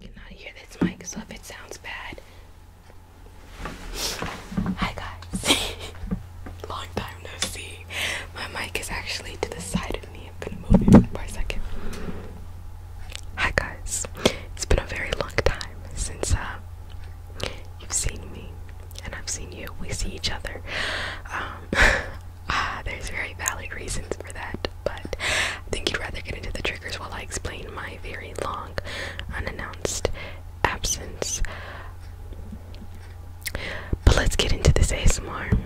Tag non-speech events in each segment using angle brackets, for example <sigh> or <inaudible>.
I cannot hear this mic, so if it sounds bad. Hi guys. <laughs> Long time no see. My mic is actually to the side of me. I'm gonna move it a second. Hi guys. It's been a very long time since uh, you've seen me and I've seen you. We see each other. Um, <laughs> ah, there's very valid reasons for that but I think you'd rather get into the triggers while I explain my very long, unannounced absence. But let's get into this ASMR.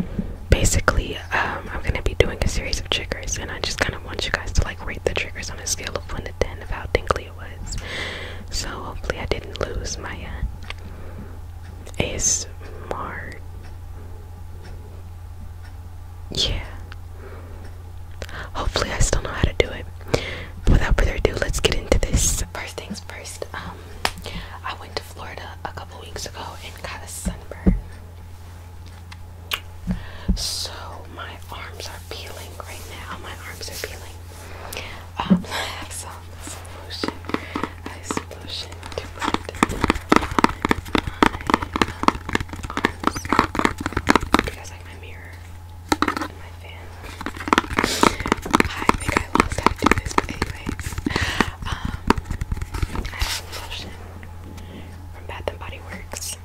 Basically, um, I'm gonna be doing a series of triggers, and I just kind of want you guys to like rate the triggers on a scale of one to ten of how tingly it was. So hopefully, I didn't lose my uh, ASMR yeah. Hopefully, I still know how to do it. without further ado, let's get into this. First things first, um, I went to Florida a couple weeks ago and got a sunburn. So my arms are peeling right now. My arms are peeling. Um, <laughs> I have some solution. I have solution to put. Do you guys like my mirror my fan? I think I lost how to this, but anyways, um, I have lotion from Bath and Body Works.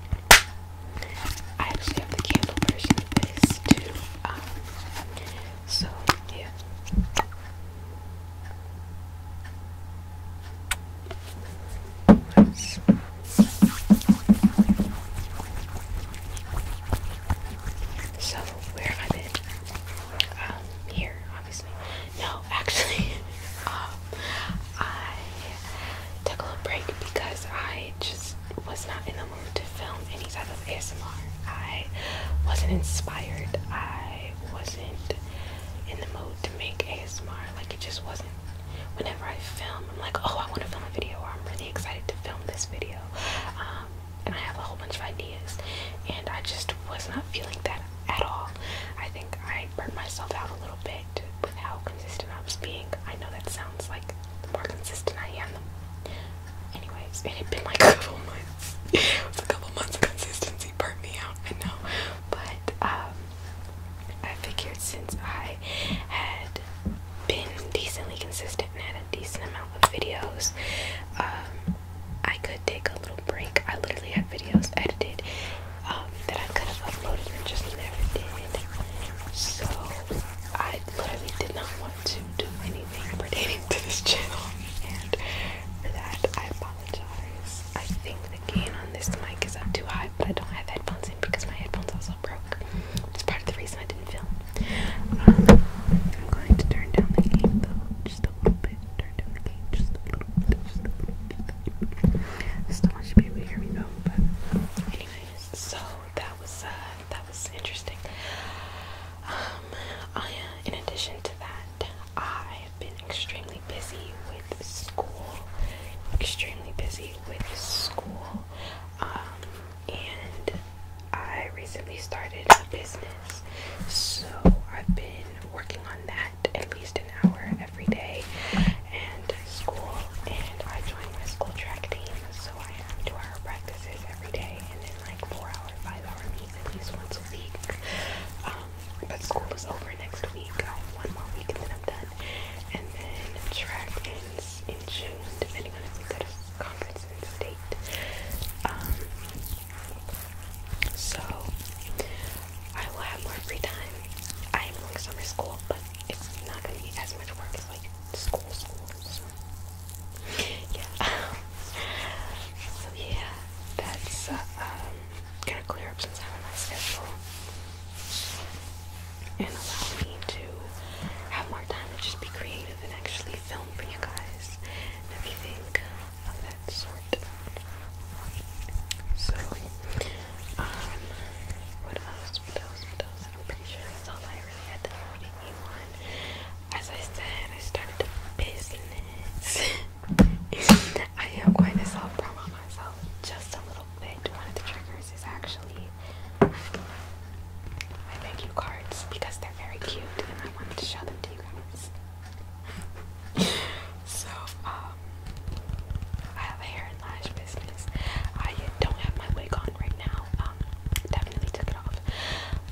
I actually have the candle version of this too. Um, so yeah so where have I been? Um, here, obviously. No, actually, <laughs> uh, I took a little break because I just was not in the mood to film any type of ASMR. I wasn't inspired. I wasn't in the mood to make ASMR. Like it just wasn't. Whenever I film, I'm like, oh, I want to film a video, I'm really excited to film this video, um, and I have a whole bunch of ideas, and I just was not feeling that at all. I think I burnt myself out a little bit with how consistent I was being. I know that sounds like more consistent I am, anyways, it had been like <laughs> a couple months. it was a couple months of consistency Chelsea me out, I know. But um, I figured since I had been decently consistent and had a decent amount of videos, um, I could take a little break. I literally had videos edited um, that I could have uploaded and just never did. So I literally did not want to do anything pertaining to this channel, and for that I bought I think the gain on this mic is up too high, but I don't have headphones in because my headphones also broke. It's part of the reason I didn't film. Um, I'm going to turn down the gain though, just a little bit. Turn down the gain just a little bit. Just a little want you to to hear me though, but anyways, so that was uh, that was interesting. Um, I, uh, in addition to that, I i have been extremely busy with school, extremely busy with school, um, and I recently started a business, so I've been working on that at least an hour every day, and school, and I joined my school track team, so I have two hour practices every day, and then like four hour, five hour meetings at least once a week. Um, but school is over next week. I have one more week and then I'm done. And then track ends in June, depending on if we go to conference in state. Um, so I will have more free time. I am going summer school, but it's not going to be as much work as like school school. So yeah. <laughs> yeah, that's uh gonna clear up since I'm my schedule and allow me to have more time to just be creative and actually film for you guys and everything of that sort. So, um, what else? What else? What else? I'm pretty sure that's all I really had to already on. As I said, I started the business. <laughs> <laughs> I am going to self promo myself just a little bit. One of the triggers is actually my thank you cards because they're very cute and I wanted to show them to you guys. <laughs> so, um, I have a hair and lash business. I don't have my wig on right now. Um, definitely took it off.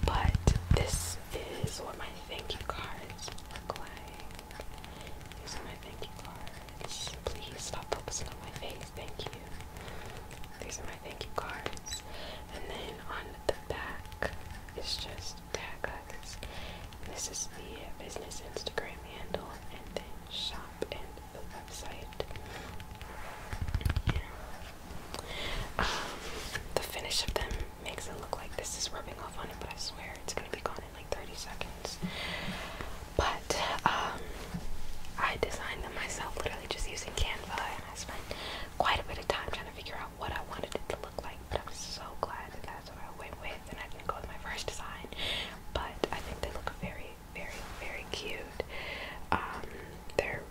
But this is what my thank you cards look like. Using my thank you cards. Please stop focusing on my face. Thank you. These are my thank you cards. And then on the back it's just tag This is the business Instagram handle and shop and the website. Um, the finish of them makes it look like this is rubbing off on it, but I swear it's gonna be gone in like 30 seconds. But um, I designed them myself, literally just using Canva, and I spent quite a bit of time trying to figure out what I wanted it to look like. But I'm so glad that that's what I went with, and I didn't go with my first design. But I think they look very, very, very cute. Um, they're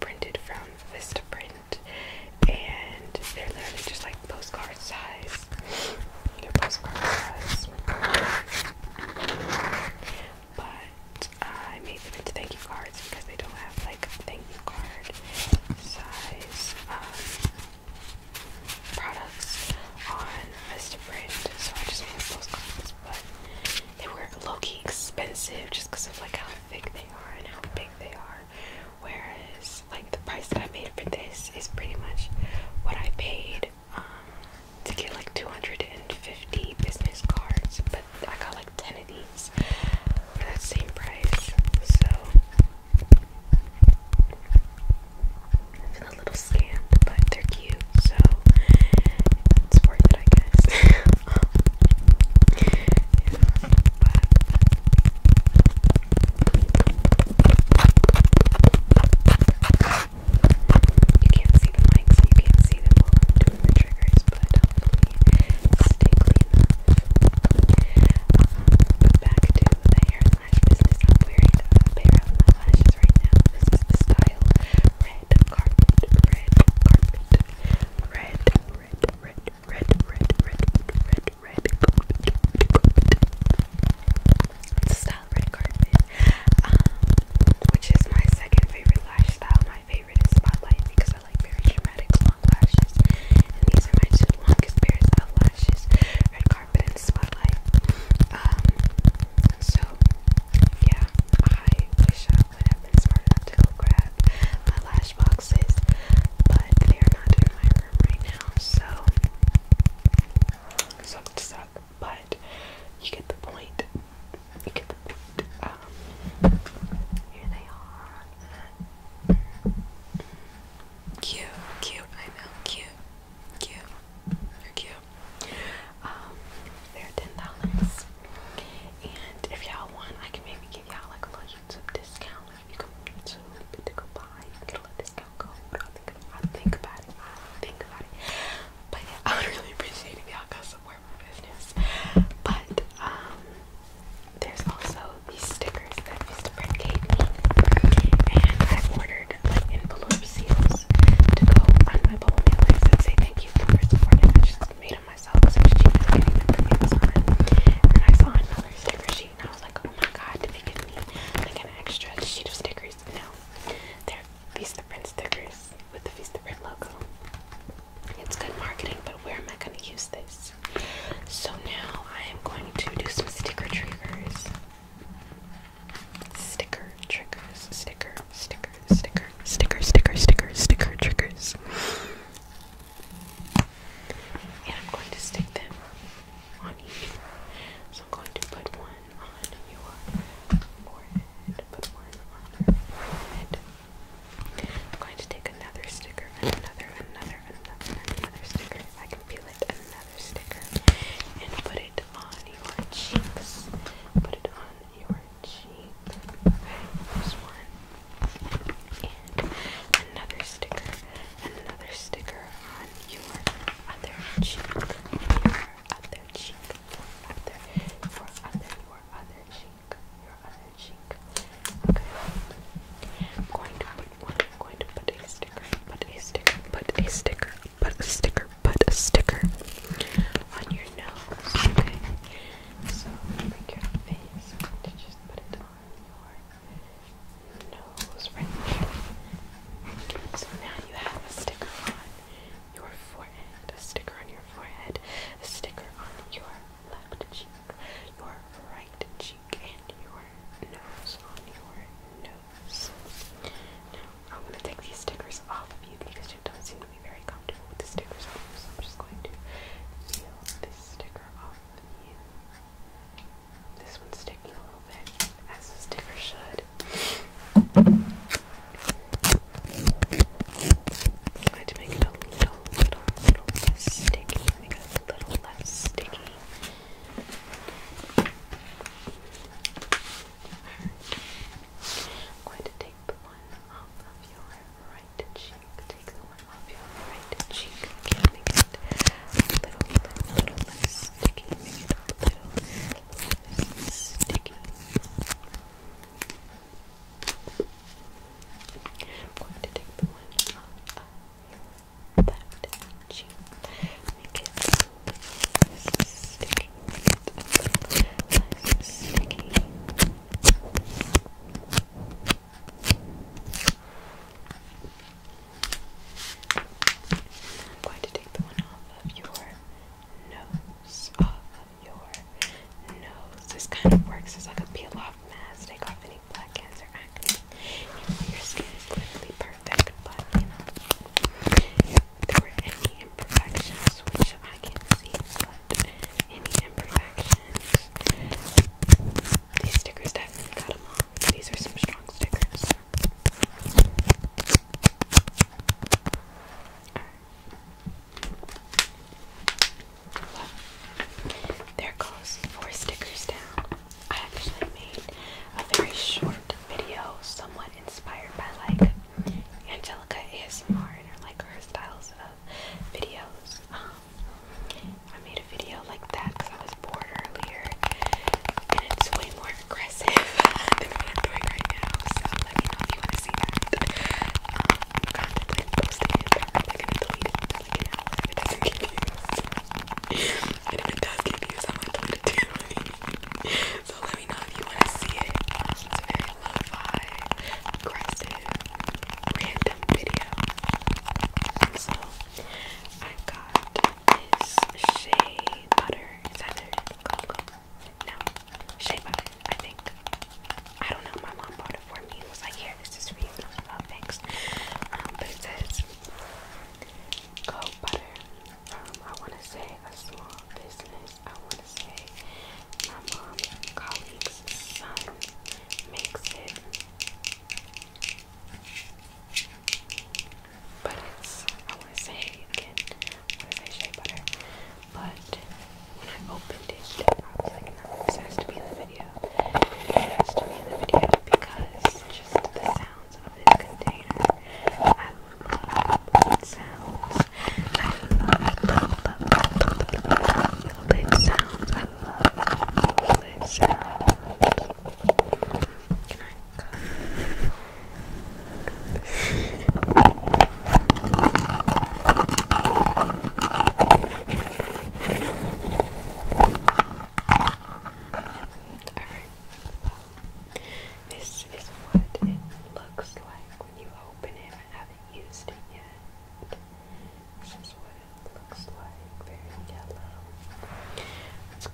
printed from Vista Print, and they're literally just like postcard size. But I made them into thank you cards because they don't have like thank you card size um, products on Vista Print, so I just made postcards. But they were low key expensive just because of like how thick they are and how big they are. Whereas, like, the price that I paid for this is pretty much what I paid um, to get like 250 business cards, but I got like 10 of these for that same price. So, I feel a little scammed, but they're cute, so it's worth it, I guess. <laughs> You can't see the mic, so you can't see them while doing the triggers, but hopefully stay clean enough. Um, back to the hair business. I'm wearing a pair of lashes right now. This is the style red carpet, red carpet, red, red, red, red, red, red, red, red, carpet. red carpet, um, which is my second favorite lash style. My favorite is spotlight because I like very dramatic long lashes, and these are my two longest pairs of lashes: red carpet and spotlight. Um, so yeah, I wish I would have been smart enough to go grab my lash boxes, but they are not in my room right now, so suck to But you get the point. You get the point. Um, here they are. Cute, cute. I know, cute, cute. They're cute. Um, they're ten dollars. And if y'all want, I can maybe give y'all like a little YouTube discount you can it's a little bit to go by until it is not cold. I'll think, I'll think about it. I'll think about it. But yeah, <laughs> I would really appreciate if y'all go support my business. But um, there's also these stickers that Mr. Brett gave me, and I ordered like envelope seals to go on my bowl mailers and say thank you for supporting. I just made myself I And then I saw another sticker sheet and I was like, oh my god, did they give me like an extra sheet of stickers? No. They're Feast the Print stickers with the Feast the Print logo. It's good marketing, but where am I going to use this? So now I am going to do some sticker triggers. Sticker triggers. Sticker, sticker, sticker, sticker, sticker, sticker, sticker triggers. And I'm going to stick them on each. So I'm going to put one on your forehead, put one on your forehead. I'm going to take another sticker, another, another, another, another sticker. I can peel it, another sticker. And put it on your cheeks. Put it on your cheek. Okay, one. And another sticker, another sticker on your other cheek, your other cheek, your other, your other, your other cheek, your other cheek. Okay. I'm going to put one, I'm going to put a sticker, put a sticker, put a sticker, put a sticker, put a sticker on your nose. Okay. So like your face, just put it on your nose right here. So now you have a sticker on your forehead, a sticker on your forehead, a sticker on your left cheek, your right cheek, and your nose on your nose. Now I'm gonna take these stickers off of you because you don't very comfortable with the stickers so I'm just going to peel this sticker off This one's sticking a little bit, as the sticker should. I to make it a little, little, little less sticky. a little less sticky. going to take the one off of your right cheek. Take the one off your right cheek. Can make it little, little, less sticky. Make it a little, less sticky. I'm going to take the one off of that cheek. Make it a little less sticky. I'm going to take the one off of your nose. Off of your nose. This kind of works It's like a peel off mask. Take off any blackheads or acne. You your skin is literally perfect, but if there were any imperfections, which I can see, any imperfections. These stickers definitely got them off. These are some strong stickers. Well, there goes four stickers down. I actually made a very short video, somewhat inspired by like Angelica ASMR and her, like her styles of videos. Um, I made a video like that because I was bored earlier, and it's way more aggressive <laughs> than I'm doing right now. So let me know if you want to see that. Um, I'm contemplating posting it, but I'm probably gonna it if it doesn't get views. and if it does to delete it <laughs> so let me know if you want to see it. Spotify, aggressive, random video. so I got this shea butter. Is that it? shea butter, I think. I don't know, my mom bought it for me. It like, here, this is for you. I was like, oh, thanks. Um, but it says cold butter. Um, I want to say a small business I want to say my mom's colleague's son makes it, but it's I want to say again, I want to say shea butter, but when I opened it, I was like, no, this has to be in the video. It has to be in the video because just the sounds of this container, I love, love, love, love lid sounds. I love lid sounds. Can I Alright. This is what it looks like when you open it. I used it yet. This what it looks like, very yellow. Let's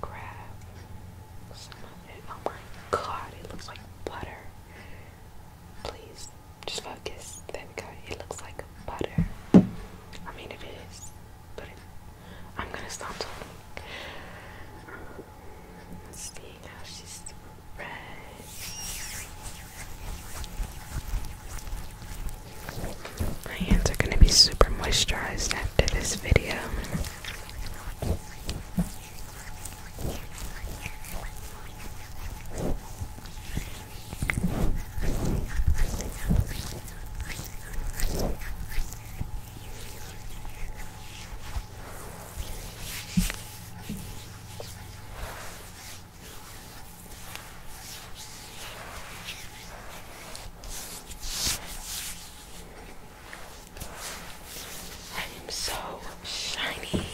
Oh my god, it looks like butter. Please, just focus. There we It looks like butter. I mean, it is, but I'm gonna stop talking. let how she's my hands are going to be super moisturized after this video. I am so shiny.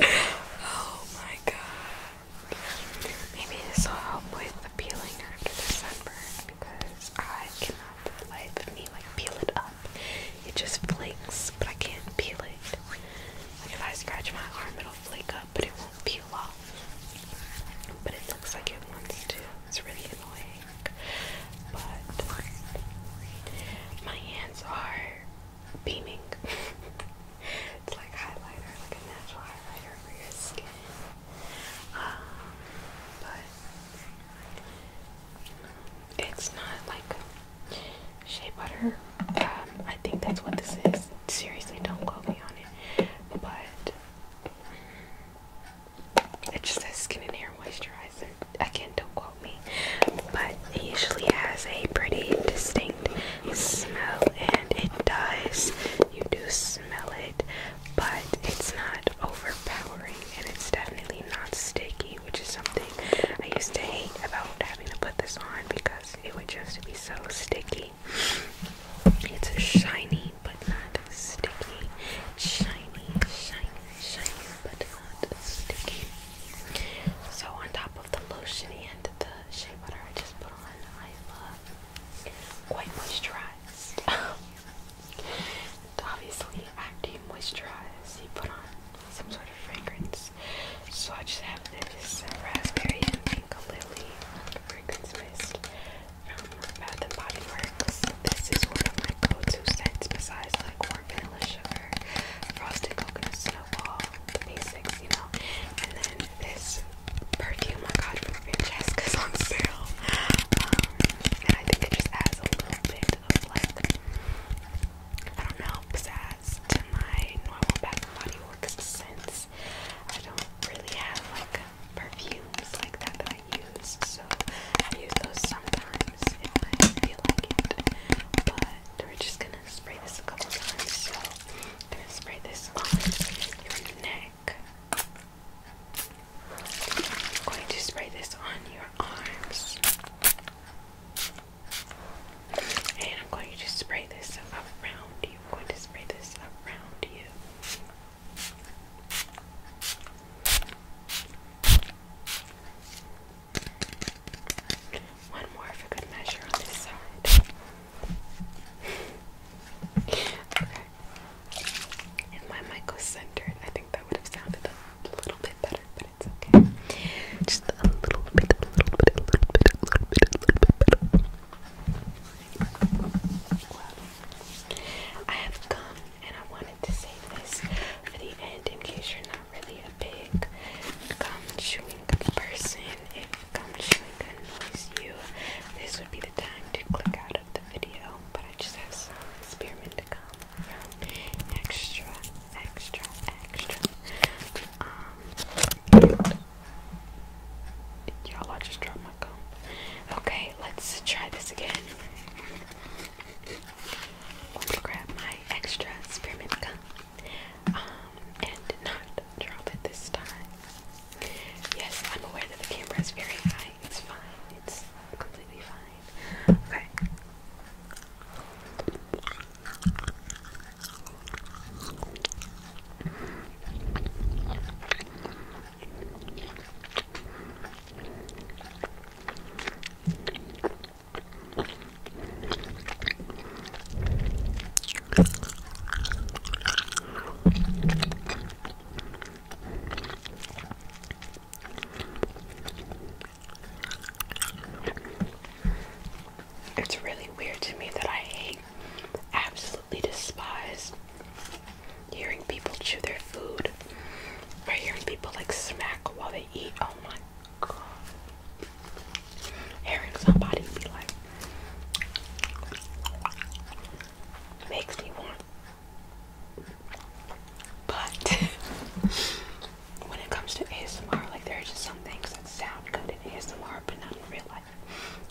oh my god. Maybe this will help with peeling after the sunburn because I cannot for me like peel it up. It just flicks, but I can't peel it. if I scratch my arm, it'll flake up, but it won't peel off. But it looks like it wants to. It's really annoying. But my hands are beaming. <laughs> it's like highlighter, like a natural highlighter for your skin. Um, but it's not like shea butter. Um, I think that's what this is. Seriously, don't quote me on it. But it just says skin and hair moisturizer. Again, don't quote me. But it usually has a pretty distinct smell, and it does. You do smell it, but it's not overpowering, and it's definitely really not sticky, which is something I used to hate about having to put this on because it would just be so sticky. It's shiny but not sticky. Shiny, shiny, shiny but not sticky. So on top of the lotion and the shea butter I just put on, I love quite moisturized. <laughs> obviously, I do moisturize, you put on some sort of fragrance. So I just have this raspberry and pink lily fragrance mist from Bath and Body Works. This is one of my go-to scents besides like warm vanilla frosted coconut snowball, basics, you know. And then this perfume I got from Francesca's on sale. Um, and I think it just adds a little bit of like I don't know, pizzazz to my normal Bath and Body Works since I don't really have like perfumes like that that I use, so I use those sometimes if I feel like it. But we're just gonna spray this a couple times, so I'm gonna spray this on your neck. I'm going to spray this on your arms. And I'm going to spray this around you. I'm going to spray this around you. One more for good measure on this side. okay. If my mic was I think that would have sounded a little bit better but it's okay. Just a little bit, a little bit, a little bit, a little bit, a little bit better. Well, I have come and I wanted to save this for the end in case you're not really a big gum chewing person. If gum chewing annoys you, this would be the time to click out of the video. But I just have some spearmint to come extra, extra, extra. Um, y'all, I just dropped my gum. Okay, let's try this again. I'm grab my extra spearmint gum um, and not drop it this time. Yes, I'm aware that the camera is very high it's fine, it's completely fine. Okay. It's really weird to me that I hate, absolutely despise hearing people chew their food or hearing people like smack while they eat. Oh my god. Hearing somebody be like, makes me want but <laughs> when it comes to ASMR, like there are just some things that sound good in ASMR, but not in real life.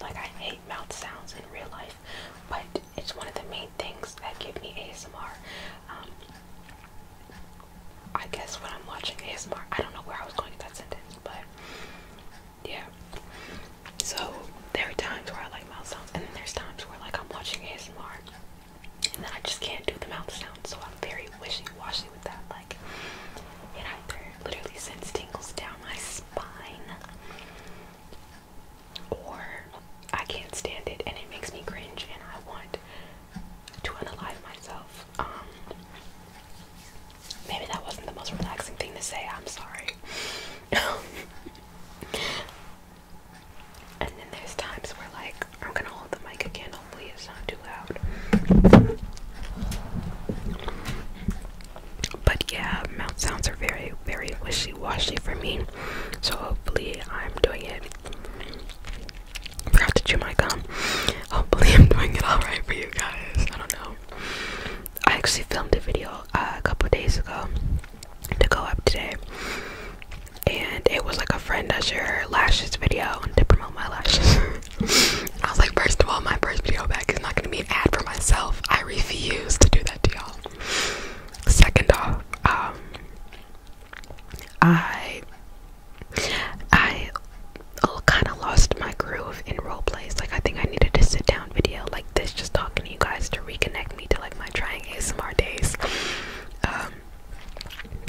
Like I hate mouth sounds in real life, but it's one of the main things that give me ASMR. Um, I guess when I'm watching ASMR, I don't know where I was going with that sentence, but yeah. So there are times where I like mouth sounds, and then there's times where like I'm watching ASMR and then I just can't do the mouth sound, so I'm very wishy-washy with that. Like, it either literally sends tingles down my spine, or I can't stand it, and it makes me cringe, and I want to unalive myself. Um, maybe that wasn't the most relaxing thing to say. I'm sorry. <laughs> And then there's times where, like, I'm gonna hold the mic again, hopefully, it's not too loud. But yeah, mouth sounds are very, very wishy washy for me. So hopefully, I'm doing it. I forgot to chew my gum. Hopefully, I'm doing it alright for you guys. I don't know. I actually filmed a video uh, a couple days ago to go up today. And it was like a friend does your lashes video to promote my lashes. <laughs> I was like, first of all, my first video back is not gonna be an ad for myself. I refuse to do that to y'all. Second off, um, I I kind of lost my groove in role plays. Like I think I needed to sit down video like this, just talking to you guys to reconnect take me to like my trying ASMR days um,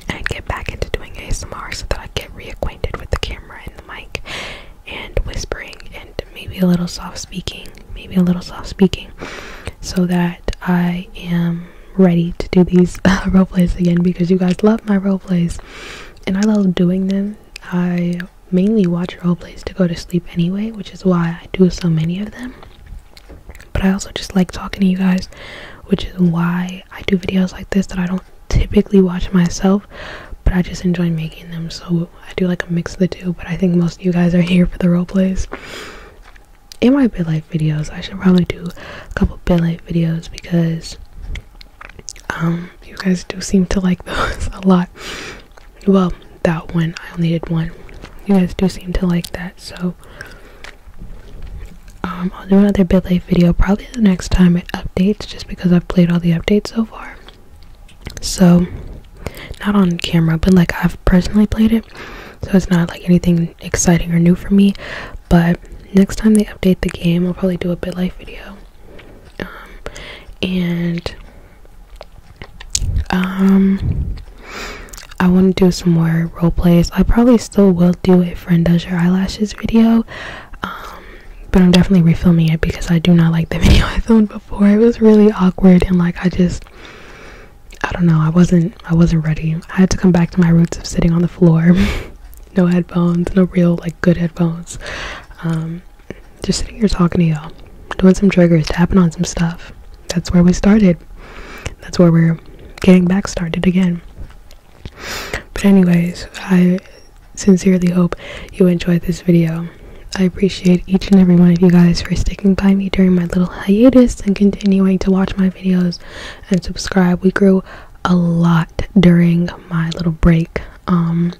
and get back into doing ASMR so that I get reacquainted with the camera and the mic and whispering and maybe a little soft speaking, maybe a little soft speaking so that I am ready to do these <laughs> uh, role plays again because you guys love my role plays and I love doing them. I mainly watch role plays to go to sleep anyway, which is why I do so many of them. But I also just like talking to you guys, which is why I do videos like this that I don't typically watch myself, but I just enjoy making them. So I do like a mix of the two, but I think most of you guys are <laughs> here for the role plays. In my bit life videos, I should probably do a couple bit life videos because um you guys do seem to like <laughs> those a lot well, that one. I only did one. You guys do seem to like that, so um, I'll do another Life video probably the next time it updates, just because I've played all the updates so far. So, not on camera, but like I've personally played it, so it's not like anything exciting or new for me. But next time they update the game, I'll probably do a Life video. Um, and um, I want to do some more role plays. I probably still will do a friend does your eyelashes video. Um, but I'm definitely refilming it because I do not like the <laughs> video I filmed before. It was really awkward and like I just I don't know. I wasn't I wasn't ready. I had to come back to my roots of sitting on the floor. <laughs> no headphones, no real like good headphones. Um, just sitting here talking to y'all, doing some triggers, tapping on some stuff that's where we started. That's where we're getting back started again. But anyways, I sincerely hope you enjoyed this video. I appreciate each and every one of you guys for sticking by me during my little hiatus and continuing to watch my videos and subscribe. We grew a lot during my little break. Um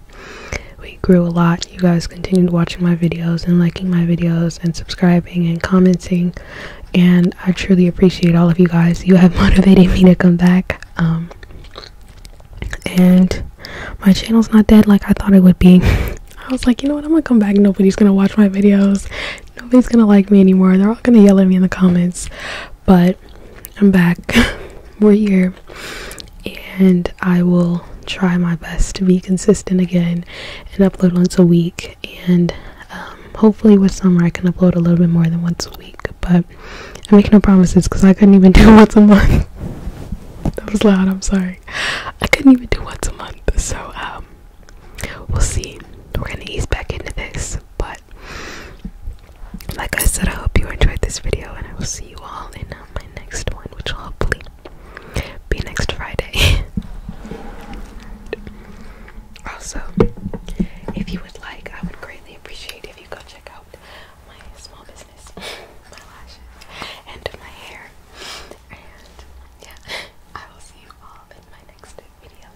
we grew a lot you guys continued watching my videos and liking my videos and subscribing and commenting and i truly appreciate all of you guys you have <laughs> motivated me to come back um and my channel's not dead like i thought it would be <laughs> i was like you know what i'm gonna come back nobody's gonna watch my videos nobody's gonna like me anymore they're all gonna yell at me in the comments but i'm back <laughs> we're here and I will try my best to be consistent again and upload once a week and um, hopefully with summer I can upload a little bit more than once a week but I make no promises because I couldn't even <laughs> do once a month that was loud I'm sorry I couldn't even do once a month so um we'll see we're gonna ease back into this but like I said I hope you enjoyed this video and I will see you all in uh, my next one which will hopefully be next Friday. <laughs> also, if you would like, I would greatly appreciate if you go check out my small business, <laughs> my lashes, and my hair. And yeah, I will see you all in my next video.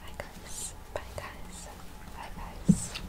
Bye guys. Bye guys. Bye guys.